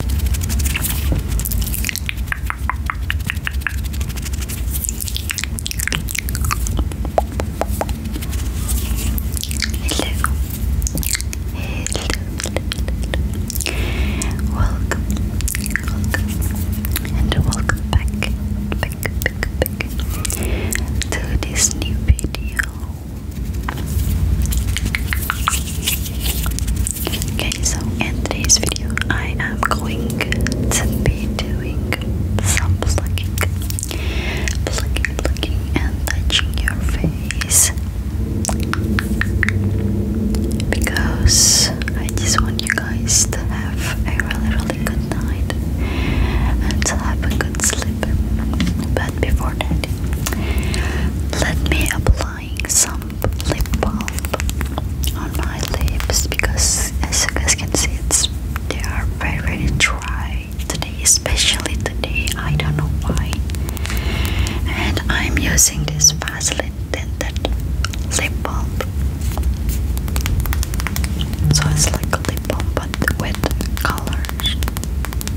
Hello. Welcome. Welcome. And welcome back. Back, back, back to this new video. Okay, so in today's video, I am going to be doing some plucking, plucking, plucking, and touching your face because I just want you guys to have a really, really good night and to have a good sleep. But before that, let me apply applying some lip balm on my lips because as you guys can see they are very dry today especially today I don't know why and I'm using this Vaseline tinted lip balm so it's like a lip balm but with colors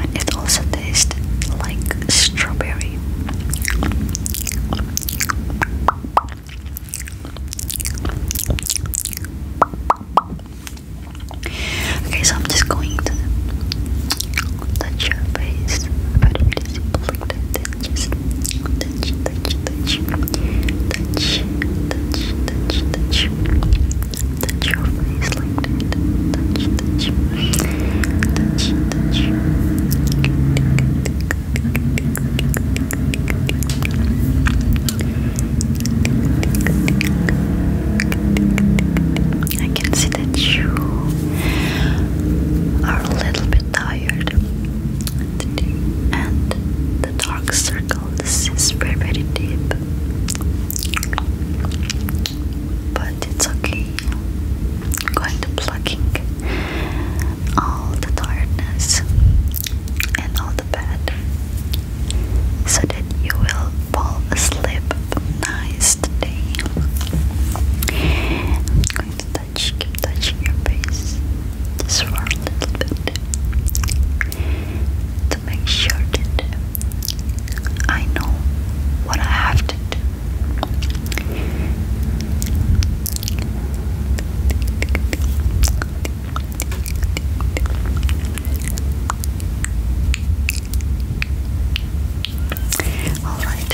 and it also tastes like strawberry. Okay, so I'm just going to touch your face very, very simple like that. Just touch, touch, touch, touch, touch, touch, touch. I can see that you are a little bit tired. And the dark circle, is very, very deep but it's okay. I'm going to plucking all the tiredness and all the bad so that you will fall asleep nice today. I'm going to touch, keep touching your face just a little bit to make sure that I know what I have to do. All right.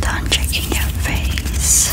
Done checking your face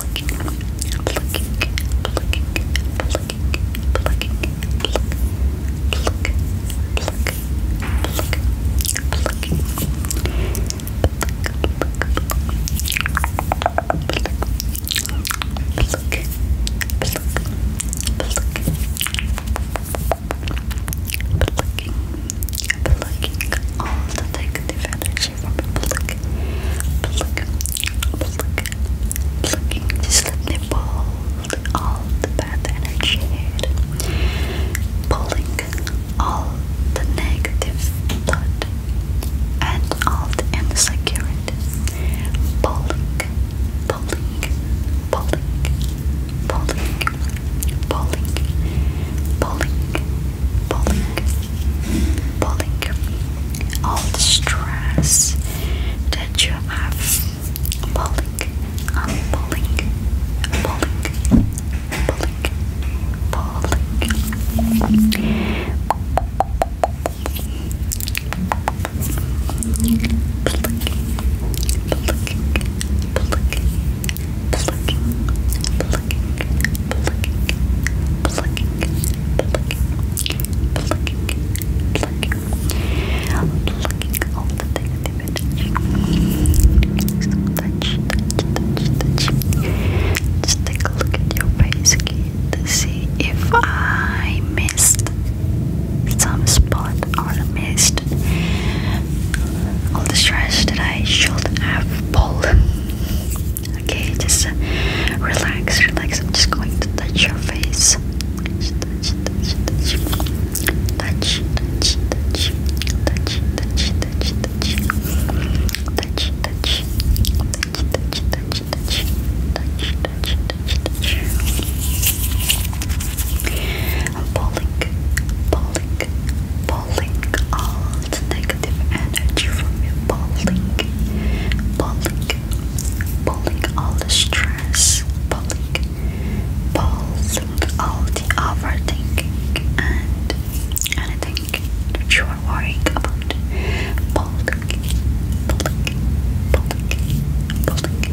plucking, plucking, plucking, She's all the bad energy Pulling all the negative blood and all the insecurities. Pulling, pulling, pulling, pulling, pulling, pulling pulling, pulling all the stress that you have, pulling, unpulling, pulling, pulling, pulling, pulling, pulling, pulling plucking, plucking, looking, plucking, plucking, plucking, plucking all the things they were touching. So touch, touch, touch, touch. Just take a look at your face again to see if I missed some spot or missed all the stress that I should have pulled. Okay, just uh, relax, relax. I'm just going to touch your face. Touch, touch, touch, touch. Touch, touch, touch. Touch, touch, touch, touch. Touch, touch. Touch, touch, touch, touch. Touch, touch, touch, touch. I'm pulling, pulling, pulling all the negative energy from you, pulling, pulling, pulling all the stress, pulling, pulling all the overthinking and anything that you are worrying about, pulling, pulling, pulling, pulling,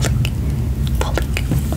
pulling, pulling, pulling, pulling, pulling.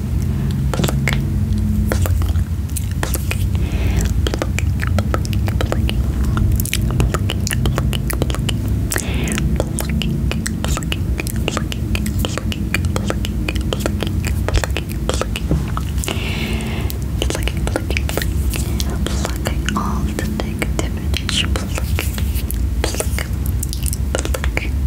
Pluck, pluck, plucking all the negativity, plucking, plucking, plucking,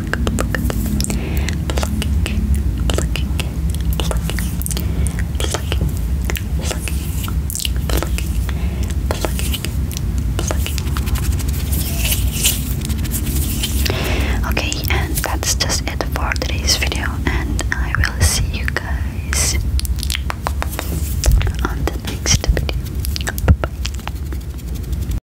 Okay, and that's just it for today's video, and I will see you guys on the next video. Bye bye.